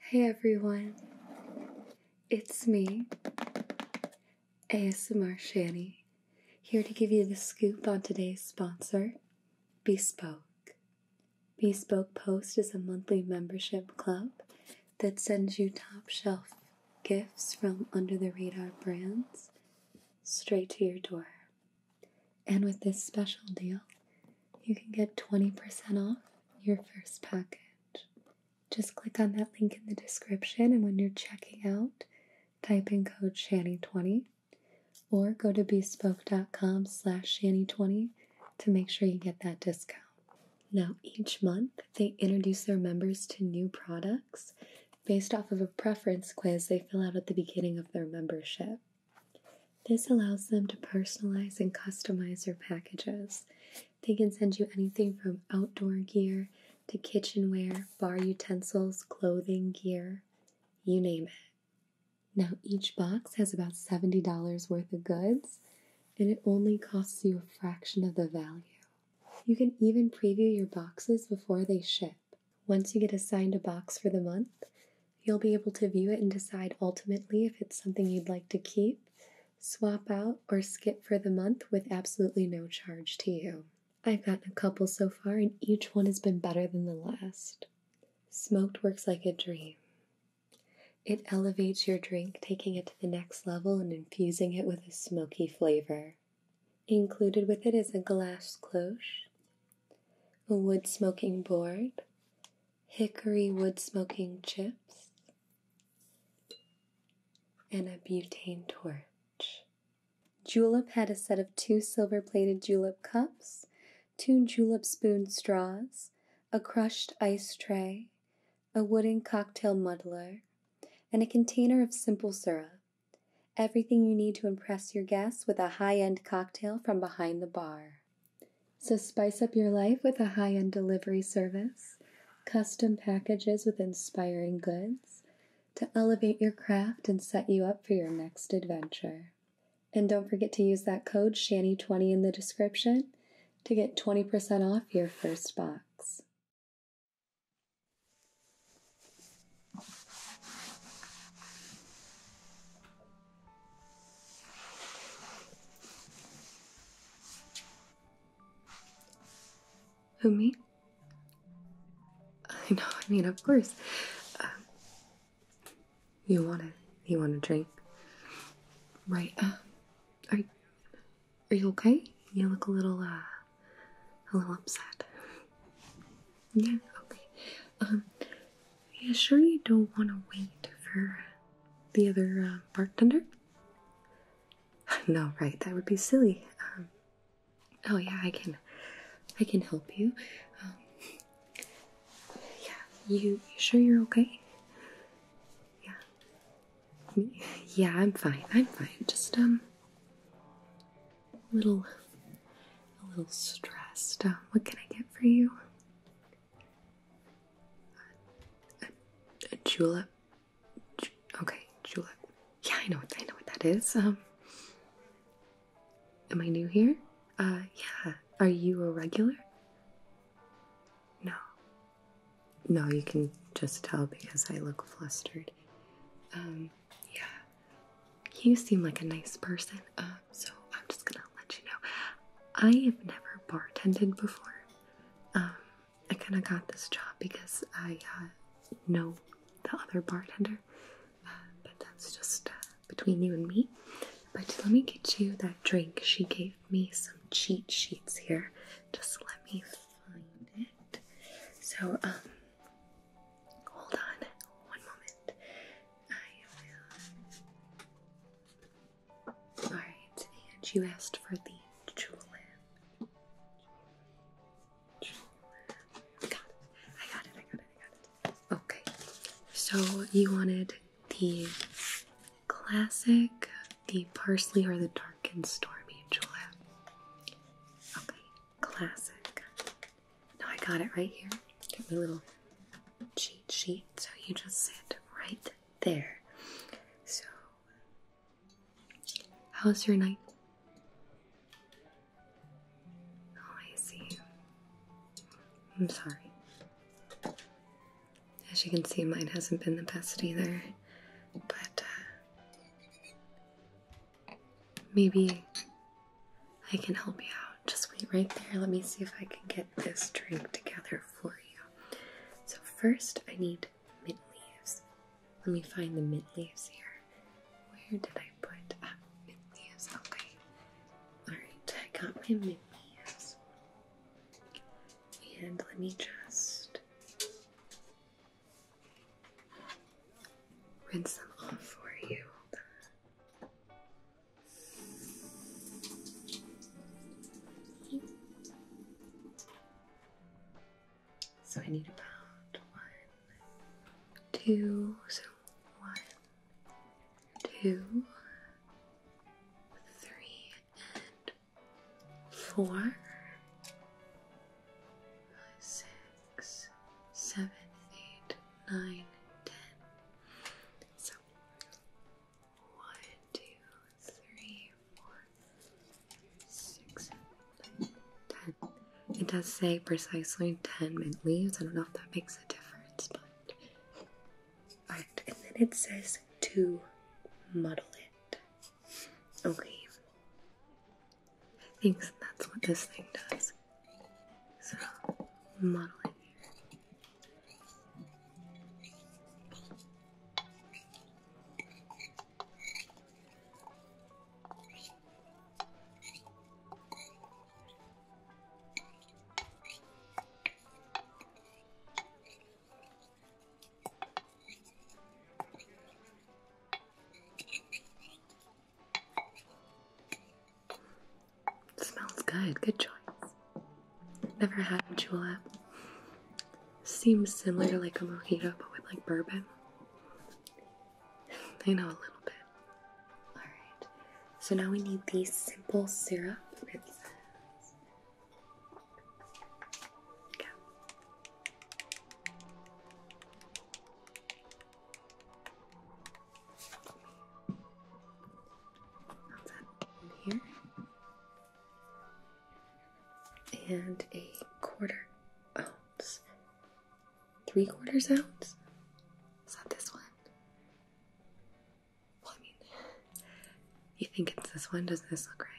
Hey everyone, it's me, ASMR Shani here to give you the scoop on today's sponsor, Bespoke. Bespoke Post is a monthly membership club that sends you top shelf gifts from under the radar brands straight to your door. And with this special deal, you can get 20% off your first package. Just click on that link in the description, and when you're checking out, type in code SHANNY20 or go to bespoke.com slash shanny20 to make sure you get that discount. Now, each month they introduce their members to new products based off of a preference quiz they fill out at the beginning of their membership. This allows them to personalize and customize their packages. They can send you anything from outdoor gear to kitchenware, bar utensils, clothing, gear, you name it. Now, each box has about $70 worth of goods, and it only costs you a fraction of the value. You can even preview your boxes before they ship. Once you get assigned a box for the month, you'll be able to view it and decide ultimately if it's something you'd like to keep, swap out, or skip for the month with absolutely no charge to you. I've gotten a couple so far, and each one has been better than the last. Smoked works like a dream. It elevates your drink, taking it to the next level and infusing it with a smoky flavor. Included with it is a glass cloche, a wood smoking board, hickory wood smoking chips, and a butane torch. Julep had a set of two silver plated julep cups two julep spoon straws, a crushed ice tray, a wooden cocktail muddler, and a container of simple syrup. Everything you need to impress your guests with a high end cocktail from behind the bar. So spice up your life with a high end delivery service, custom packages with inspiring goods to elevate your craft and set you up for your next adventure. And don't forget to use that code SHANNY20 in the description to get 20% off your first box. Who, me? I know, I mean, of course. You want it? You want a drink? Right. Uh, are Are you okay? You look a little uh, a little upset. Yeah. Okay. Um. You sure you don't want to wait for the other uh, bartender? No, right. That would be silly. Um, oh yeah, I can, I can help you. Um, yeah, you, sure you're okay? Yeah. Yeah, I'm fine. I'm fine. Just, um, a little, a little stressed. Um, what can I get for you? A, julep. okay, julep. Yeah, I know. What, I know what that is. Um, Am I new here? Uh, yeah. Are you a regular? No. No, you can just tell because I look flustered. Um, yeah. You seem like a nice person, uh, so I'm just gonna let you know. I have never bartended before. Um, I kinda got this job because I, uh, know the other bartender, uh, but that's just, uh, between you and me. But let me get you that drink. She gave me some cheat sheets here. Just let me find it. So, um, hold on one moment. Alright, and you asked for the julep. Julep. got it, I got it, I got it, I got it. Okay, so you wanted the classic, the parsley, or the dark and stormy, Julia. Okay, classic. No, I got it right here. Give me a little cheat sheet. So you just sit right there. So, was your night? Oh, I see. I'm sorry. As you can see, mine hasn't been the best either, but uh, maybe I can help you out. Just wait right there. Let me see if I can get this drink together for you. So, first, I need mint leaves. Let me find the mint leaves here. Where did I put ah, uh, Mindy's. Okay. Alright, I got my Mindy's. And let me just rinse them off for you. So I need about one, two, so one, Two, three, four, five, six, seven, eight, nine, ten. So one, two, three, four, six, seven, ten. It does say precisely ten mint leaves. I don't know if that makes a difference, and then it says to muddle it. Okay. I think that's what this thing does. So, muddle it here. It smells good. Good choice. Never had a julep. Seems similar to like a mojito, but with like bourbon. They know a little bit. Alright, so now we need the simple syrup. It here. And a quarter ounce three quarters ounce? Is that this one? Well, I mean, you think it's this one? Doesn't this look right?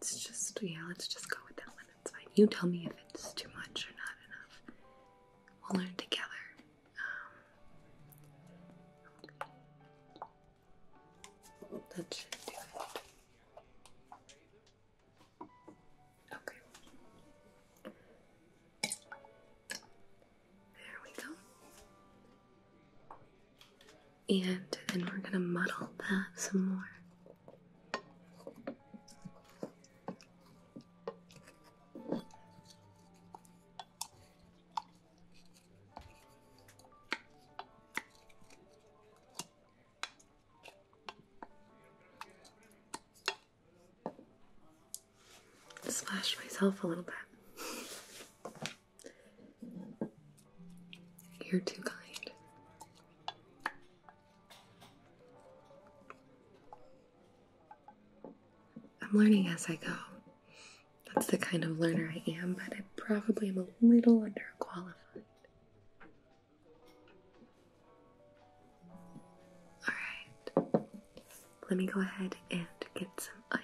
It's just, yeah, let's just go with that one. It's fine. You tell me if it's too much or not enough. We'll learn together. Um, that should do it. Okay. There we go. And then we're gonna muddle that some more. Splash myself a little bit. You're too kind. I'm learning as I go. That's the kind of learner I am, but I probably am a little underqualified. Alright, let me go ahead and get some ice.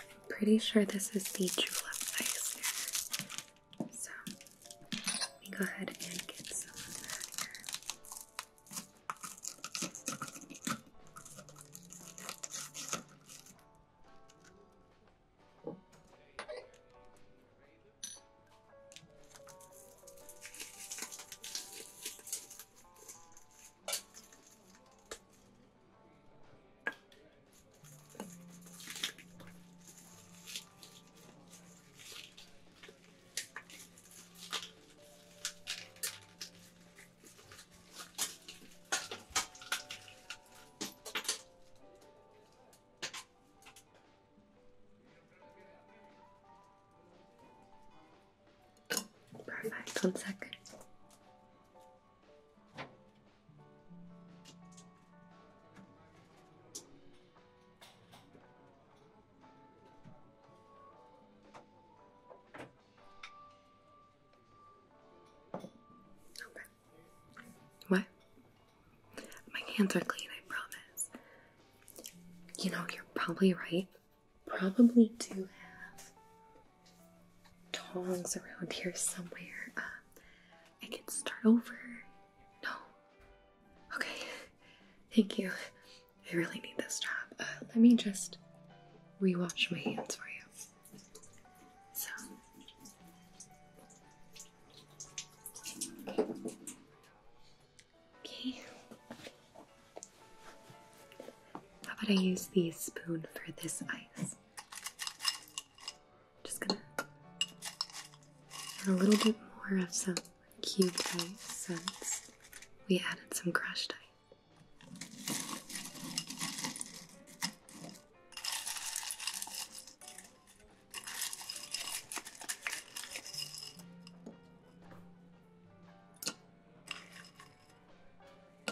I'm Pretty sure this is the julep ice. So let me go ahead and get some of that Perfect, one second. Okay. What? My hands are clean, I promise. You know, you're probably right. Probably do have tongs around here somewhere. Um, I can start over. No. Okay. Thank you. I really need this job. Uh, let me just rewash my hands for you. So. Okay. How about I use the spoon for this ice? Just gonna add a little bit more of some cube ice since we added some crushed ice.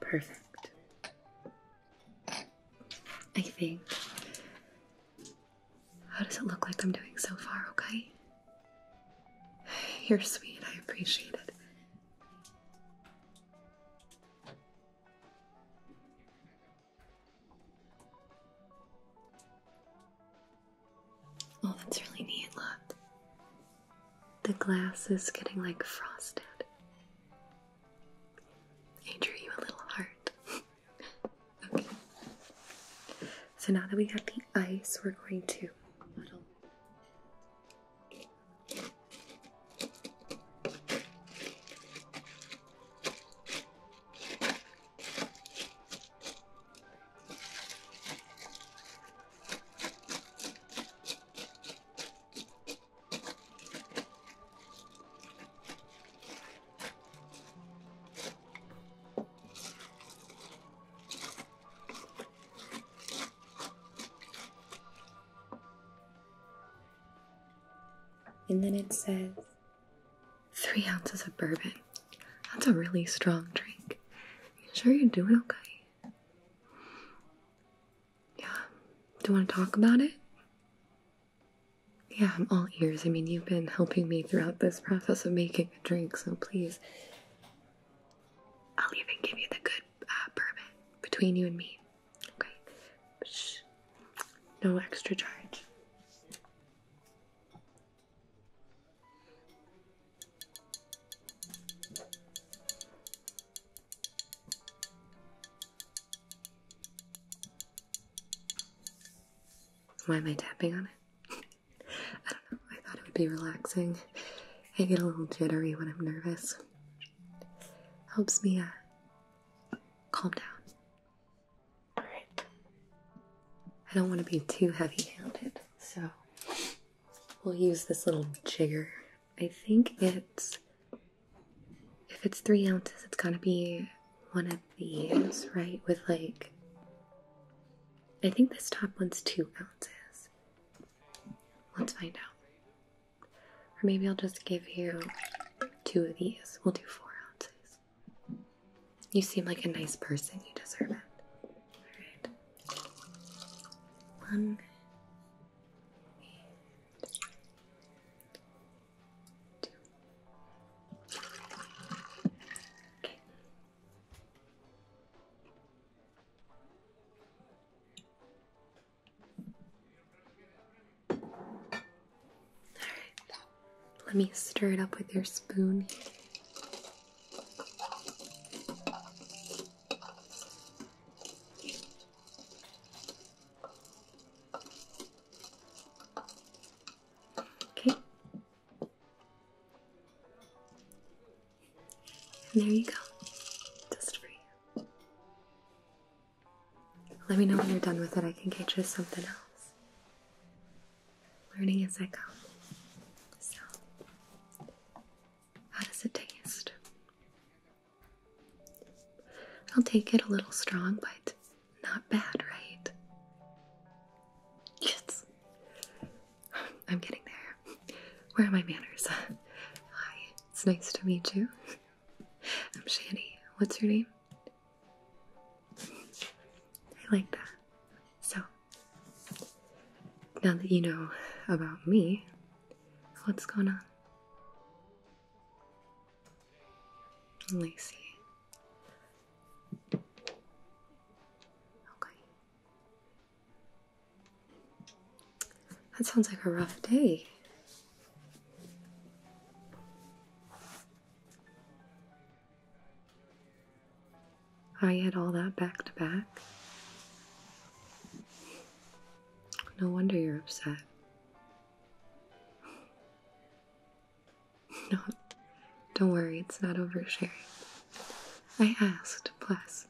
Perfect. I think. How does it look like I'm doing so far, okay? You're sweet, I appreciate it. Oh, that's really neat, look. The glass is getting like frosted. I you a little heart. okay. So now that we got the ice, we're going to and then it says, Three ounces of bourbon. That's a really strong drink. You sure you're doing okay? Yeah. Do you want to talk about it? Yeah, I'm all ears. I mean, you've been helping me throughout this process of making a drink, so please. I'll even give you the good uh, bourbon between you and me. Okay. Shh. No extra charge. Why am I tapping on it? I don't know. I thought it would be relaxing. I get a little jittery when I'm nervous. Helps me uh, calm down. I don't want to be too heavy handed, so we'll use this little jigger. I think it's. If it's three ounces, it's gotta be one of these, right? With like. I think this top one's two ounces. Let's find out. Or maybe I'll just give you two of these. We'll do four ounces. You seem like a nice person, you deserve it. All right. Let me stir it up with your spoon. Okay. And there you go. Just for you. Let me know when you're done with it. I can get you something else learning as I go. So, how does it taste? I'll take it a little strong, but not bad, right? Yes. I'm getting there. Where are my manners? Hi, it's nice to meet you. I'm Shani. What's your name? I like that. So, now that you know about me, what's going on? Lacey. Okay. That sounds like a rough day. I had all that back to back. No wonder you're upset. No, don't worry, it's not over sharing. I asked, plus,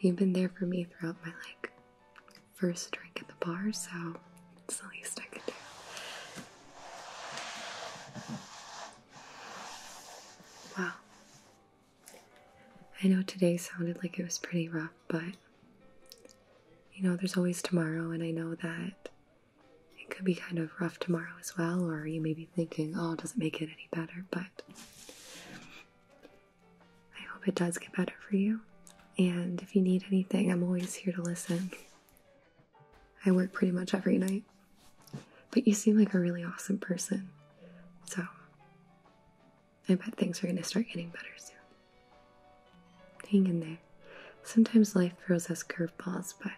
you've been there for me throughout my like first drink at the bar, so it's the least I could do. Wow. I know today sounded like it was pretty rough, but you know, there's always tomorrow, and I know that it could be kind of rough tomorrow as well, or you may be thinking, oh, does it make it any better? But I hope it does get better for you. And if you need anything, I'm always here to listen. I work pretty much every night. But you seem like a really awesome person. So I bet things are going to start getting better soon. Hang in there. Sometimes life throws us curveballs, but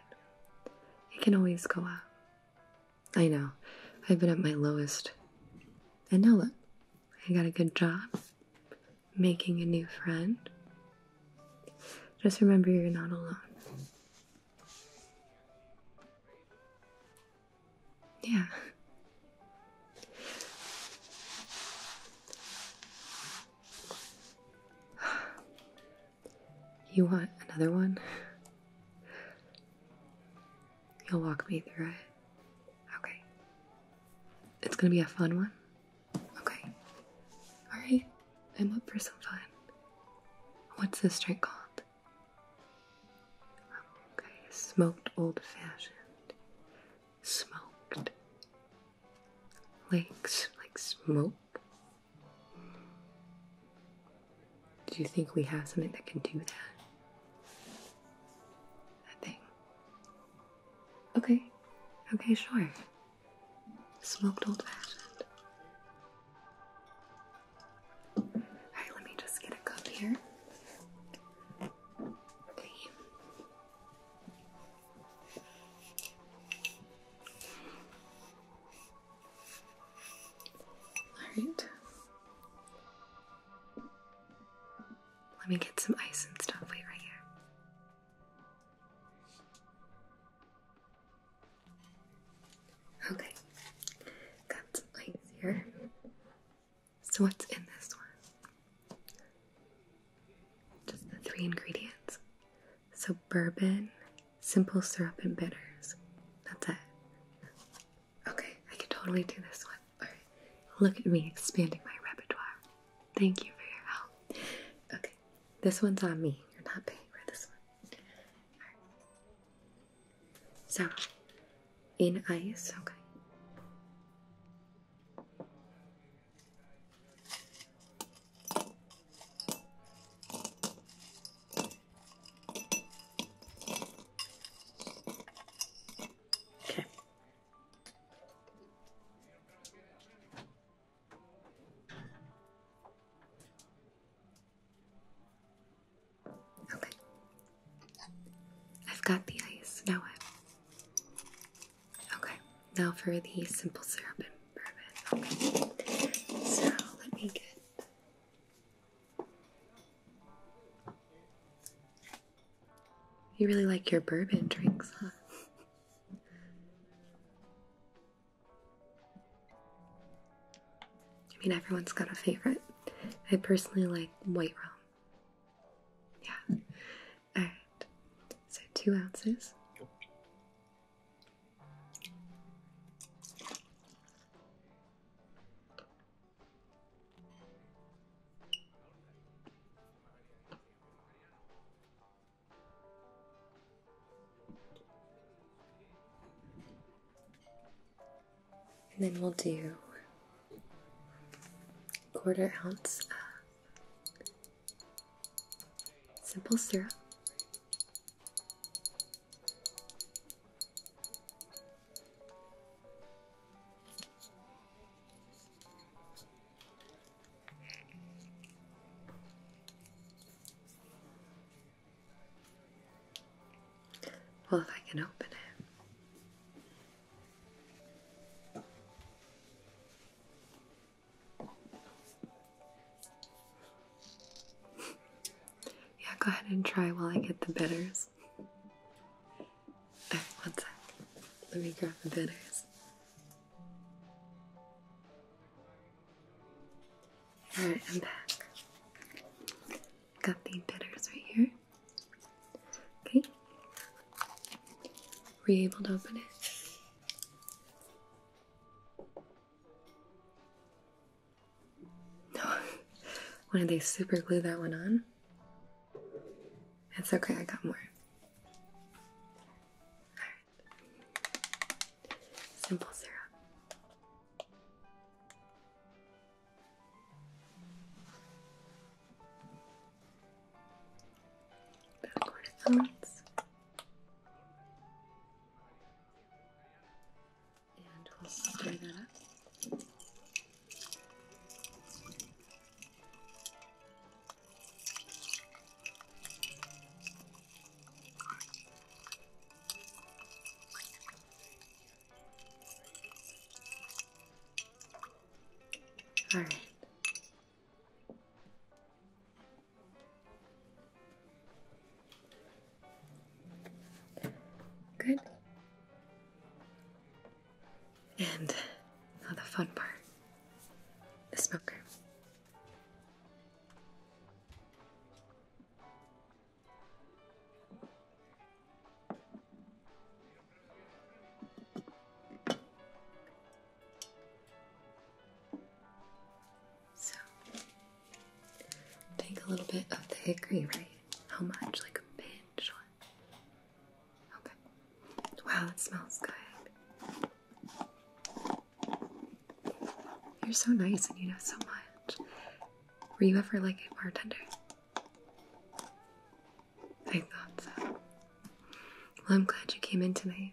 it can always go up. I know. I've been at my lowest. And now look, I got a good job, making a new friend. Just remember you're not alone. Yeah. You want another one? You'll walk me through it. Okay. It's gonna be a fun one. Okay. Alright, I'm up for some fun. What's this drink called? Okay, smoked old fashioned. Smoked. Like, like smoke? Do you think we have something that can do that? That thing? Okay, okay, sure. Smoked old fashioned. Alright, let me just get a cup here. Alright. Let me get some ice and stuff. right here. Okay, got some So, what's in this one? Just the three ingredients. So, bourbon, simple syrup, and bitters. That's it. Okay, I can totally do this one. Alright, look at me expanding my repertoire. Thank you for your help. Okay, this one's on me. You're not paying for this one. So, in ice, okay. Okay. Okay. I've got the ice. Now what? Okay. Now for the simple syrup and bourbon. Okay. So let me get. You really like your bourbon drinks, huh? I mean, everyone's got a favorite. I personally like white rum. Yeah. Alright. So, two ounces. And then we'll do quarter ounce of simple syrup. Well, if I can open it. yeah, go ahead and try while I get the bitters. Uh, one sec. Let me grab the bitters. Alright, I'm back. Got the bitters right here. Okay. Were able to open it? No. Why did they super glue that one on? It's okay, I got more. Simple syrup. About quarter And we'll stir that up. All right. Good. And now the fun part the smoker. So, think a little bit of the hickory, right? How much? Like a pinch? Okay. Wow, it smells good. You're so nice and you know so much. Were you ever like a bartender? I thought so. Well, I'm glad you came in tonight.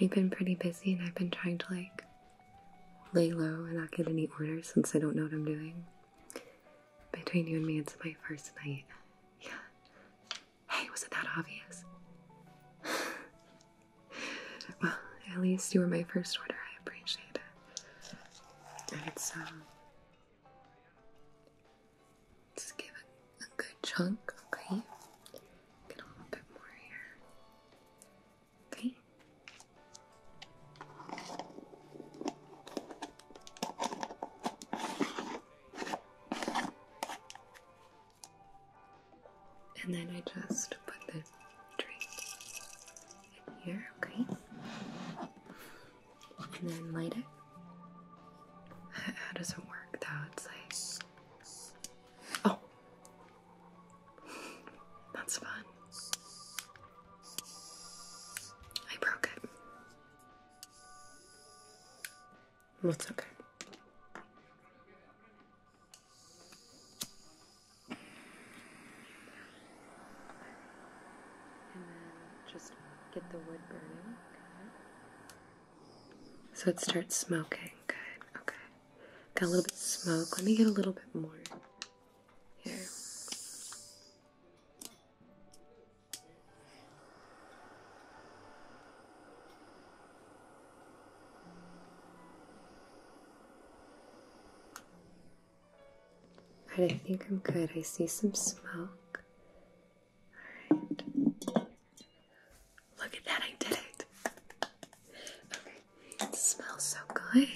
We've been pretty busy and I've been trying to like lay low and not get any orders since I don't know what I'm doing. Between you and me, it's my first night. Yeah. Hey, was it that obvious? well, at least you were my first order. I appreciate it. And it's, um. give it a good chunk, okay? Get a little bit more here. Okay? And then I just put the drink in here, okay? And then light it. How does it work though? It's like. Oh! That's fun. I broke it. That's okay. Okay. So it starts smoking. Good. Okay. Got a little bit smoke. Let me get a little bit more here. I think I'm good. I see some smoke. Alright. Look at that, I did it. Okay. smells so good.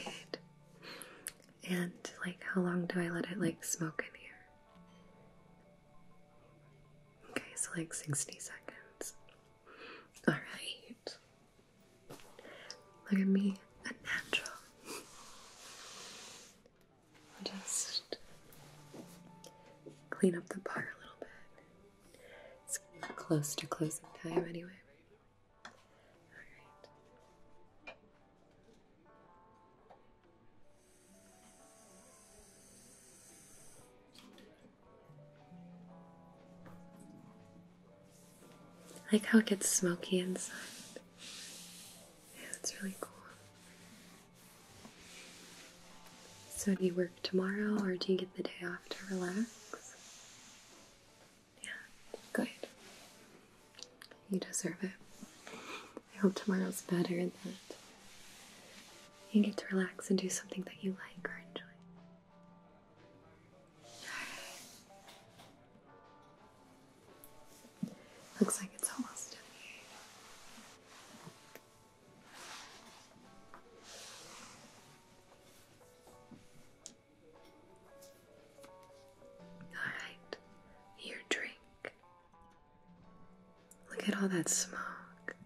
And like how long do I let it like smoke in here? Okay, so like 60 seconds. Alright. Look at me, natural. just clean up the bar a little bit. It's close to closing time anyway. Alright like how it gets smoky inside. Yeah, it's really cool. So, do you work tomorrow or do you get the day off to relax? Yeah, good. You deserve it. I hope tomorrow's better than that. You get to relax and do something that you like or enjoy. Looks like it's almost done All right, your drink Look at all that smoke.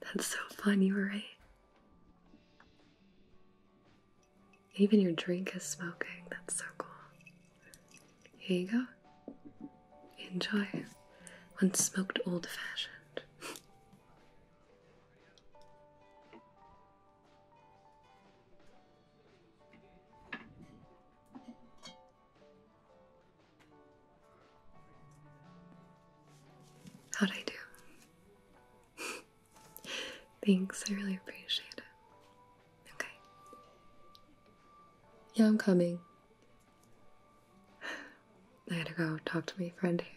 That's so fun, you are right. Even your drink is smoking. That's so cool. Here you go. Enjoy. One smoked old fashioned. How'd I do? Thanks, I really appreciate it. Okay. Yeah, I'm coming. I got to go talk to my friend here.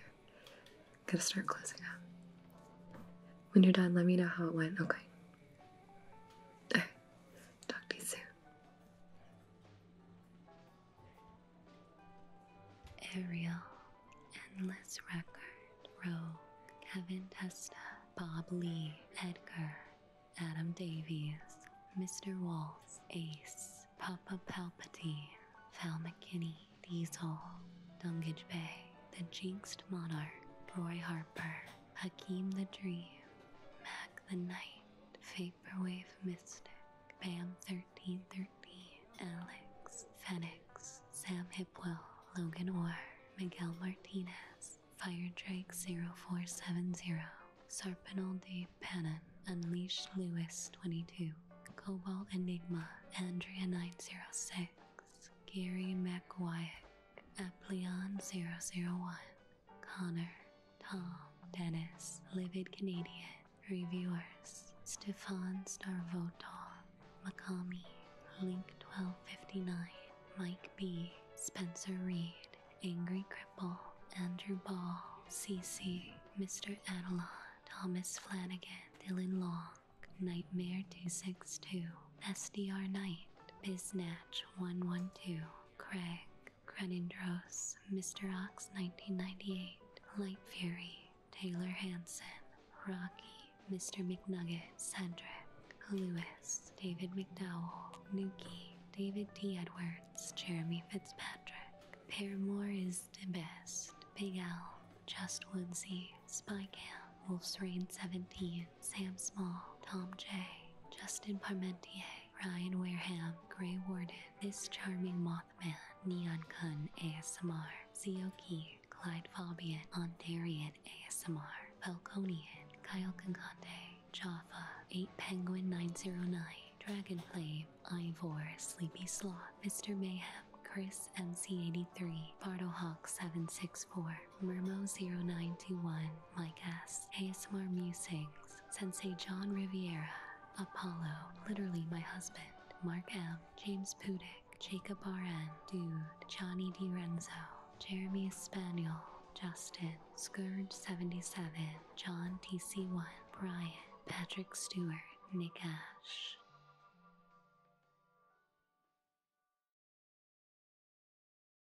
Gotta start closing up. When you're done, let me know how it went, okay? talk to you soon. Ariel, Endless Record, Roe, Kevin Testa, Bob Lee, Edgar, Adam Davies, Mr. Waltz, Ace, Papa Palpatine, Val McKinney, Diesel, Dungage Bay, The Jinxed Monarch, Roy Harper, Hakim the Dream, Mac the Knight, Vaporwave Mystic, Pam 1313, Alex, Fenix, Sam Hipwell, Logan Orr, Miguel Martinez, Fire Drake 0470, Sarpinal Dave Pannon, Unleash Lewis 22, Cobalt Enigma, Andrea 906, Gary McWyack, Apleon 001, Connor, Tom, Dennis, Livid Canadian, Reviewers, Stefan Starvotov, Makami, Link1259, Mike B, Spencer Reed, Angry Cripple, Andrew Ball, CC, Mr. Adelon, Thomas Flanagan, Dylan Long, Nightmare262, SDR Knight, Biznatch112, Craig, Crenindros, Mr. Ox 1998, Light Fury, Taylor Hanson, Rocky, Mr. McNugget, Cedric, Lewis, David McDowell, Nuki, David T. Edwards, Jeremy Fitzpatrick. Paramore is the best. Big Al, Just Woodsy, Spy Camp, Wolf's Rain 17, Sam Small, Tom J, Justin Parmentier, Ryan Wareham, Gray Warden, This Charming Mothman, Neon Kun ASMR, Zioki, Clyde Fabian, Ontarian ASMR, Falconian, Kyle Kankante, Jaffa, 8 Penguin 909, Dragonflame, Ivor, Sleepy Sloth, Mr. Mayhem, Chris MC83, Hawk, 764 Mermo091, Mike S, ASMR Musings, Sensei John Riviera, Apollo, literally my husband, Mark M, James Pudick, Jacob RN, Dude, Johnny Renzo Jeremy Spaniel, Justin, Scourge77, John TC1, Brian, Patrick Stewart, Nick Ash.